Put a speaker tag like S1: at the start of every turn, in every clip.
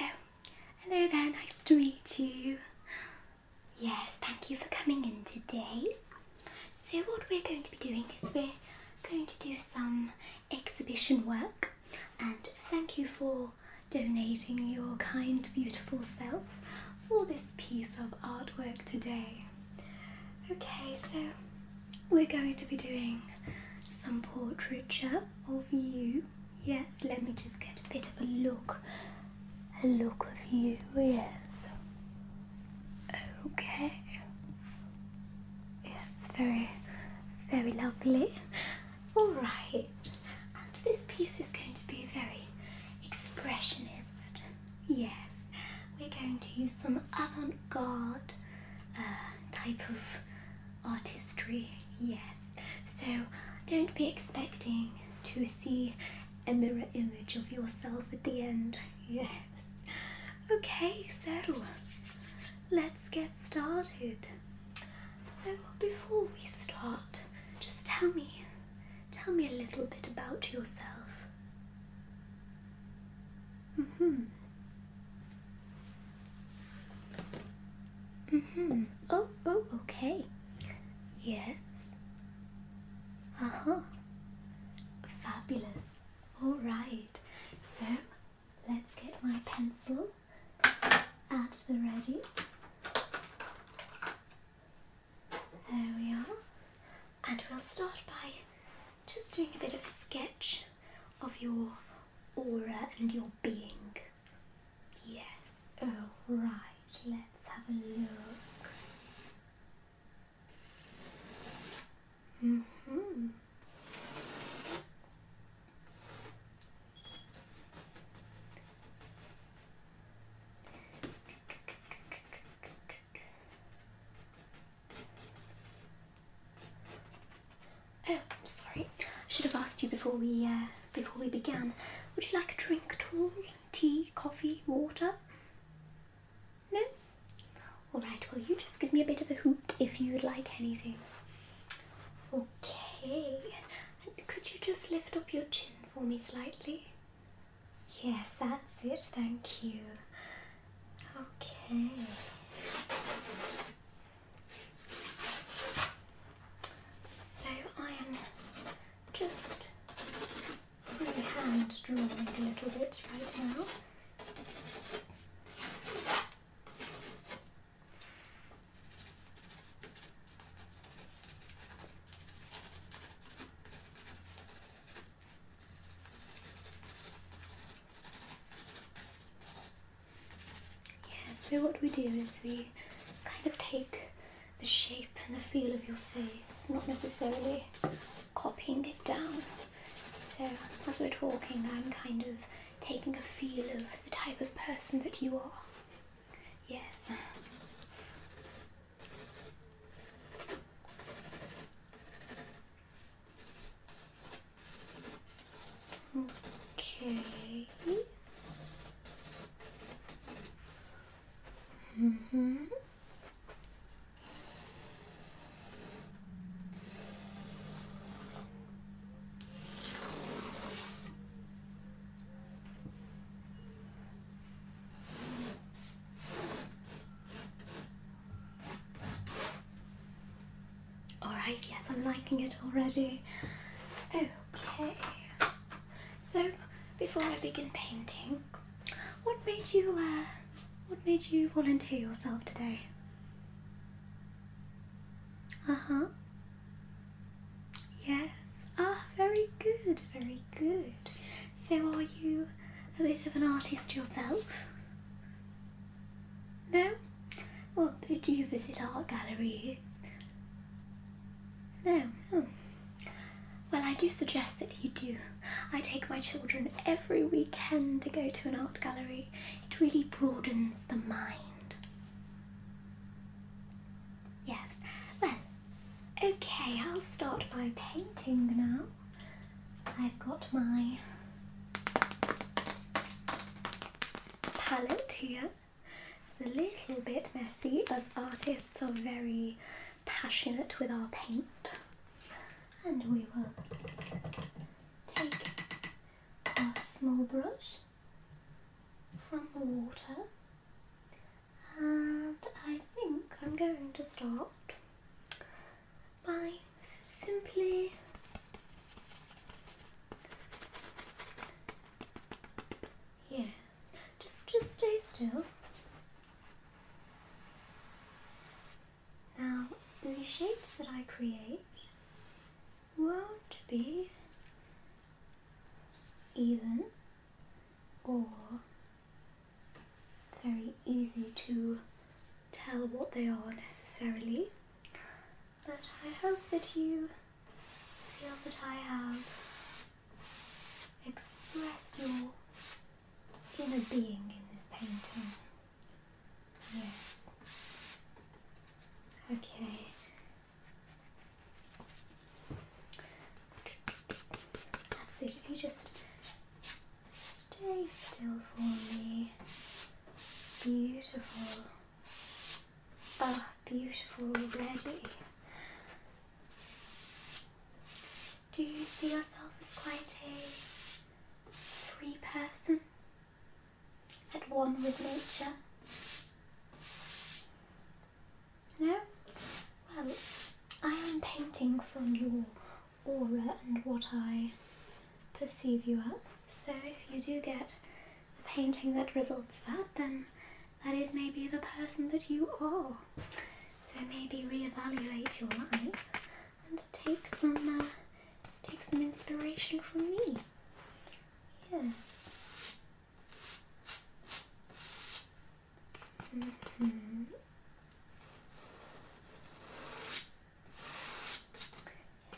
S1: Oh, hello there, nice to meet you. Yes, thank you for coming in today. So, what we're going to be doing is we're going to do some exhibition work, and thank you for donating your kind, beautiful self for this piece of artwork today. Okay, so we're going to be doing some portraiture of you. Yes, let me just get a bit of a look. A look of you, yes. Okay. Yes, very, very lovely. Alright, and um, this piece is going to be very expressionist. Yes, we're going to use some avant garde uh, type of artistry. Yes, so don't be expecting to see a mirror image of yourself at the end. Yes. Okay, so let's get started. So before we start, just tell me, tell me a little bit about yourself. Mhm. Mhm. Oh, oh, okay. Yes. Uh huh. Fabulous. All right. So let's get my pencil at the ready. There we are. And we'll start by just doing a bit of a sketch of your aura and your being. Yes. Oh, right. Let's have a look. hmm Oh, I'm sorry. I should have asked you before we uh, before we began. Would you like a drink at all? Tea, coffee, water? No? Alright, Will you just give me a bit of a hoot if you would like anything. Okay could you just lift up your chin for me slightly? Yes, that's it, thank you. Okay. So I am just freehand drawing a little bit right now. Yeah, so what we do is we kind of take the shape and the feel of your face, not necessarily copying it down. So as we're talking, I'm kind of taking a feel of the type of person that you are. Yes. Okay. Mm-hmm. Alright, yes, I'm liking it already. Okay, so before I begin painting, what made you, uh, what made you volunteer yourself today? Uh huh. Yes. Ah, very good, very good. So, are you a bit of an artist yourself? No? Well, do you visit art galleries? No. Oh. Well, I do suggest that you do. I take my children every weekend to go to an art gallery. It really broadens the mind. Yes, well, okay, I'll start by painting now. I've got my palette here. It's a little bit messy as artists are very passionate with our paint. And we will take our small brush from the water and I think I'm going to start by simply yes just just stay still now the shapes that I create won't be even or very easy to tell what they are necessarily, but I hope that you feel that I have expressed your inner being in this painting. Yes. Okay. That's it. If you just stay still for me. Beautiful. Ah, beautiful already. Do you see yourself as quite a three person? at one with nature? No? Well, I am painting from your aura and what I perceive you as. So if you do get a painting that results that, then that is maybe the person that you are. So maybe reevaluate your life and take some uh, take some inspiration from me. Yes. -hmm.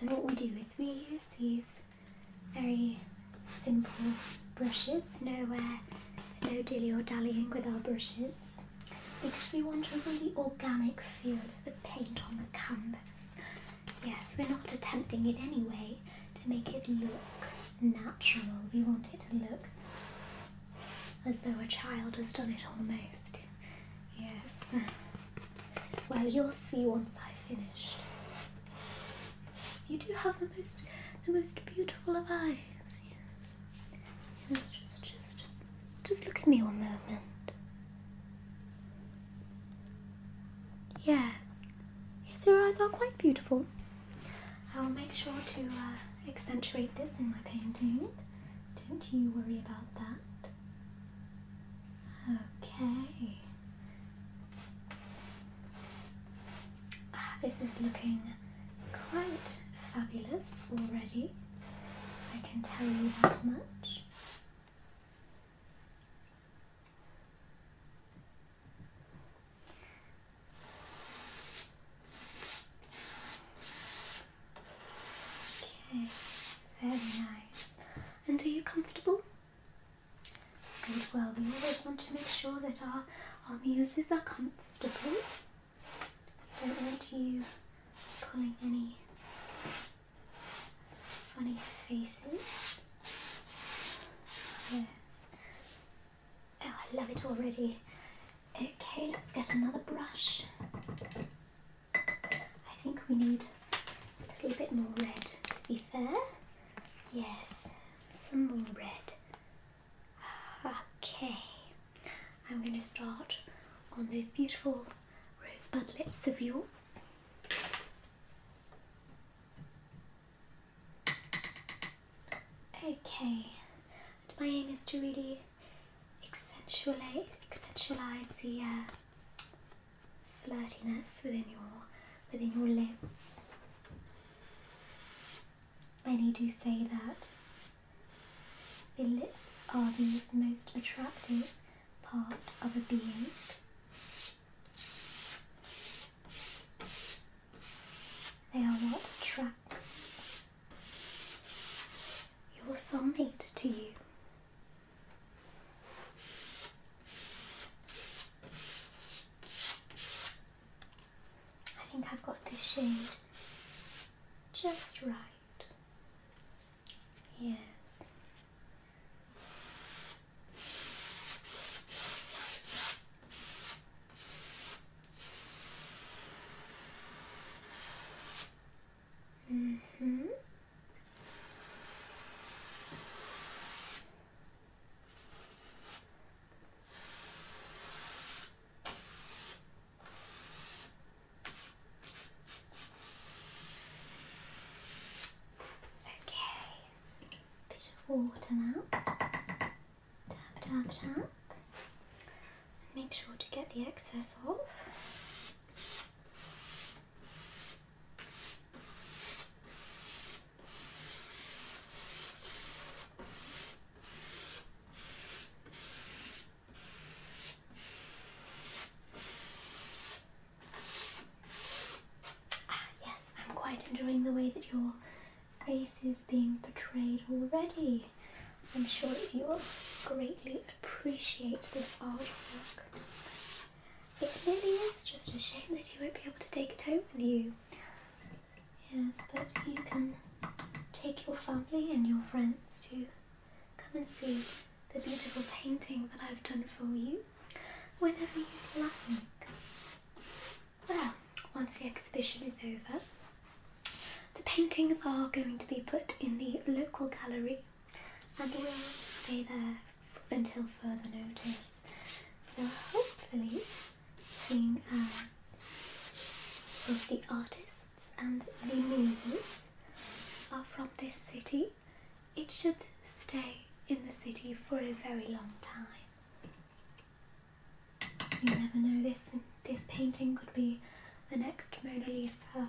S1: So what we do is we use these very simple brushes, no, no dilly or dallying with our brushes because we want a really organic feel the paint on the canvas. Yes, we're not attempting in any way to make it look natural. We want it to look as though a child has done it almost. Yes. Well, you'll see once i finish. you do have the most the most beautiful of eyes. Yes. Yes. just just just look at me one moment. Yes. Yes, your eyes are quite beautiful. I will make sure to uh, accentuate this in my painting. Don't you worry about that. Okay. Ah, this is looking quite fabulous already. I can tell you that much. Okay, very nice. And are you comfortable? Good, well, we always want to make sure that our, our users are comfortable. don't want you pulling any funny faces. Yes. Oh, I love it already. Okay, let's get another brush. I think we need a little bit more red, to be fair. Yes, some more red. Okay, I'm going to start on those beautiful rosebud lips of yours. Okay, and my aim is to really accentuate, accentualize the uh, flirtiness within your within your lips. Many do say that the lips are the most attractive part of a being. They are what attracts your soul soulmate to you. I think I've got this shade just right. Yes. Mm hmm Okay, bit of water now. Tap, tap, tap. And make sure to get the excess off. Ah, yes, I'm quite enjoying the way that your face is being portrayed already. I'm sure that you will greatly appreciate this artwork. It really is just a shame that you won't be able to take it home with you. Yes, but you can take your family and your friends to come and see the beautiful painting that I've done for you whenever you like. Well, once the exhibition is over, the paintings are going to be put in the local gallery and will stay there until further notice. So hopefully, seeing as of the artist and the muses are from this city, it should stay in the city for a very long time. You never know, this, this painting could be the next Mona Lisa.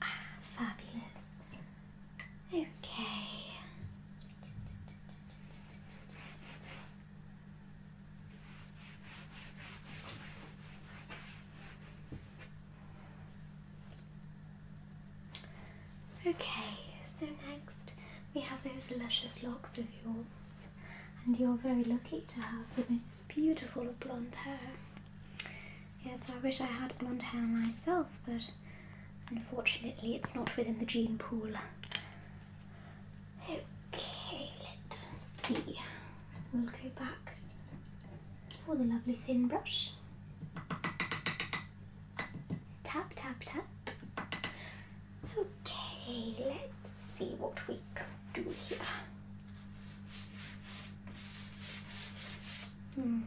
S1: Ah, fabulous. Okay. Okay, so next we have those luscious locks of yours and you're very lucky to have the most beautiful of blonde hair. Yes, I wish I had blonde hair myself, but unfortunately it's not within the gene pool. Okay, let's see. We'll go back for the lovely thin brush. Tap, tap, tap. Okay, let's see what we can do here. Mm -hmm.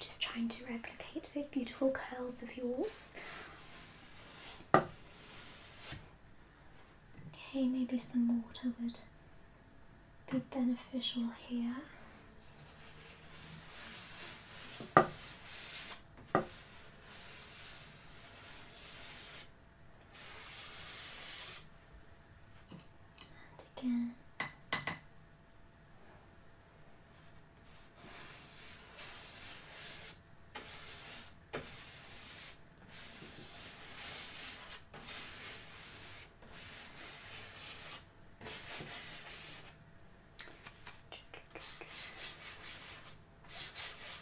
S1: Just trying to replicate those beautiful curls of yours. Okay, maybe some water would be beneficial here. And again.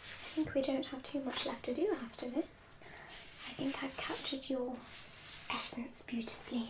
S1: I think we don't have too much left to do after this. I think I've captured your essence beautifully.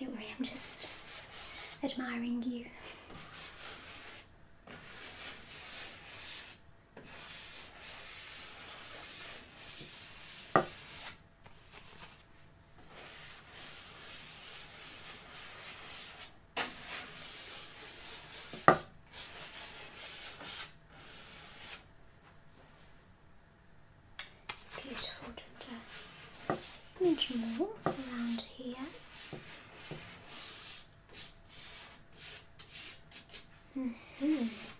S1: Don't worry, I'm just admiring you. Beautiful, just a smidge more around here. -hmm.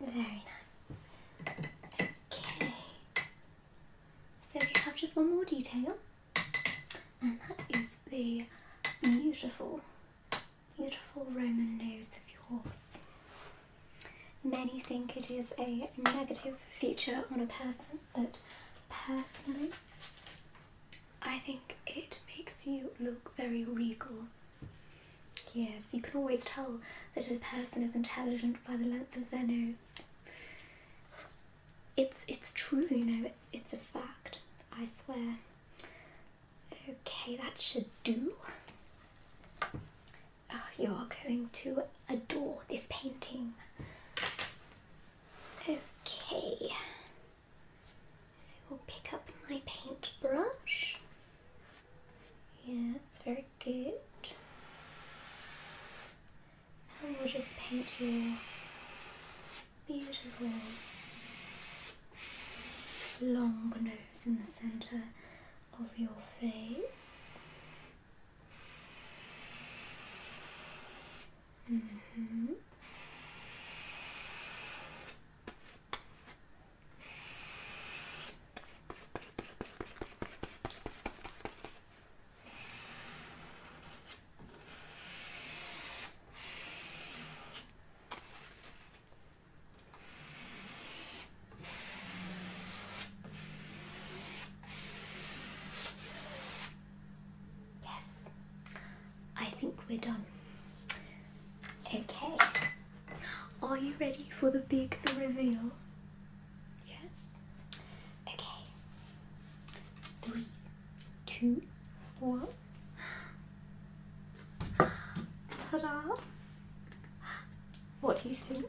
S1: Very nice. Okay. So we have just one more detail, and that is the beautiful, beautiful Roman nose of yours. Many think it is a negative feature on a person, but personally, I think it makes you look very regal Yes, you can always tell that a person is intelligent by the length of their nose. It's it's true, you know, it's it's a fact, I swear. Okay, that should do. Ah, you are going to adore this painting. Okay. So we'll pick up my paintbrush. Yeah, it's very good. And we'll just paint your beautiful long nose in the centre of your face. -hmm. Yes, I think we're done. Okay, are you ready for the big reveal? Yes. Okay. Three, two, one. Ta-da! What do you think?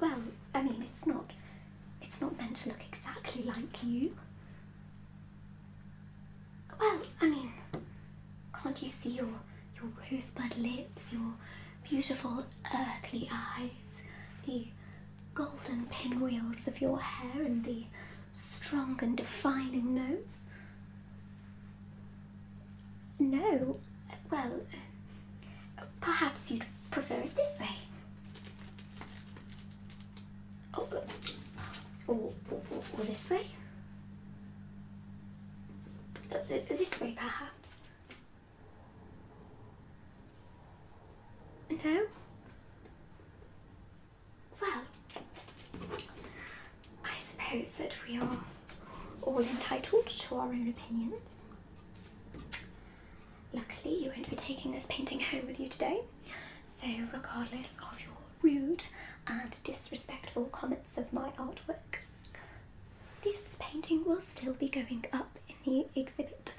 S1: Well, I mean, it's not. It's not meant to look exactly like you. Well, I mean, can't you see your your rosebud lips, your beautiful earthly eyes, the golden pinwheels of your hair, and the strong and defining nose? No, well, perhaps you'd prefer it this way. Oh, or, or, or this way? Oh, this way, perhaps? No? Well, I suppose that we are all entitled to our own opinions. Luckily, you won't be taking this painting home with you today, so regardless of your rude and disrespectful comments of my artwork, this painting will still be going up in the exhibit,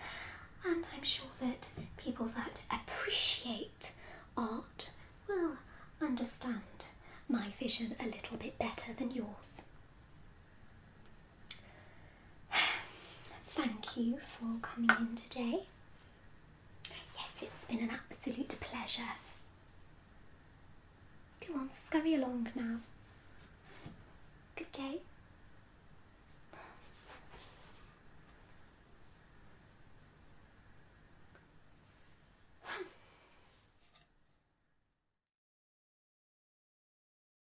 S1: and I'm sure that people that appreciate art will understand my vision a little bit better than yours. Thank you for coming in today. Yes, it's been an absolute pleasure. Go on, scurry along now. Good day.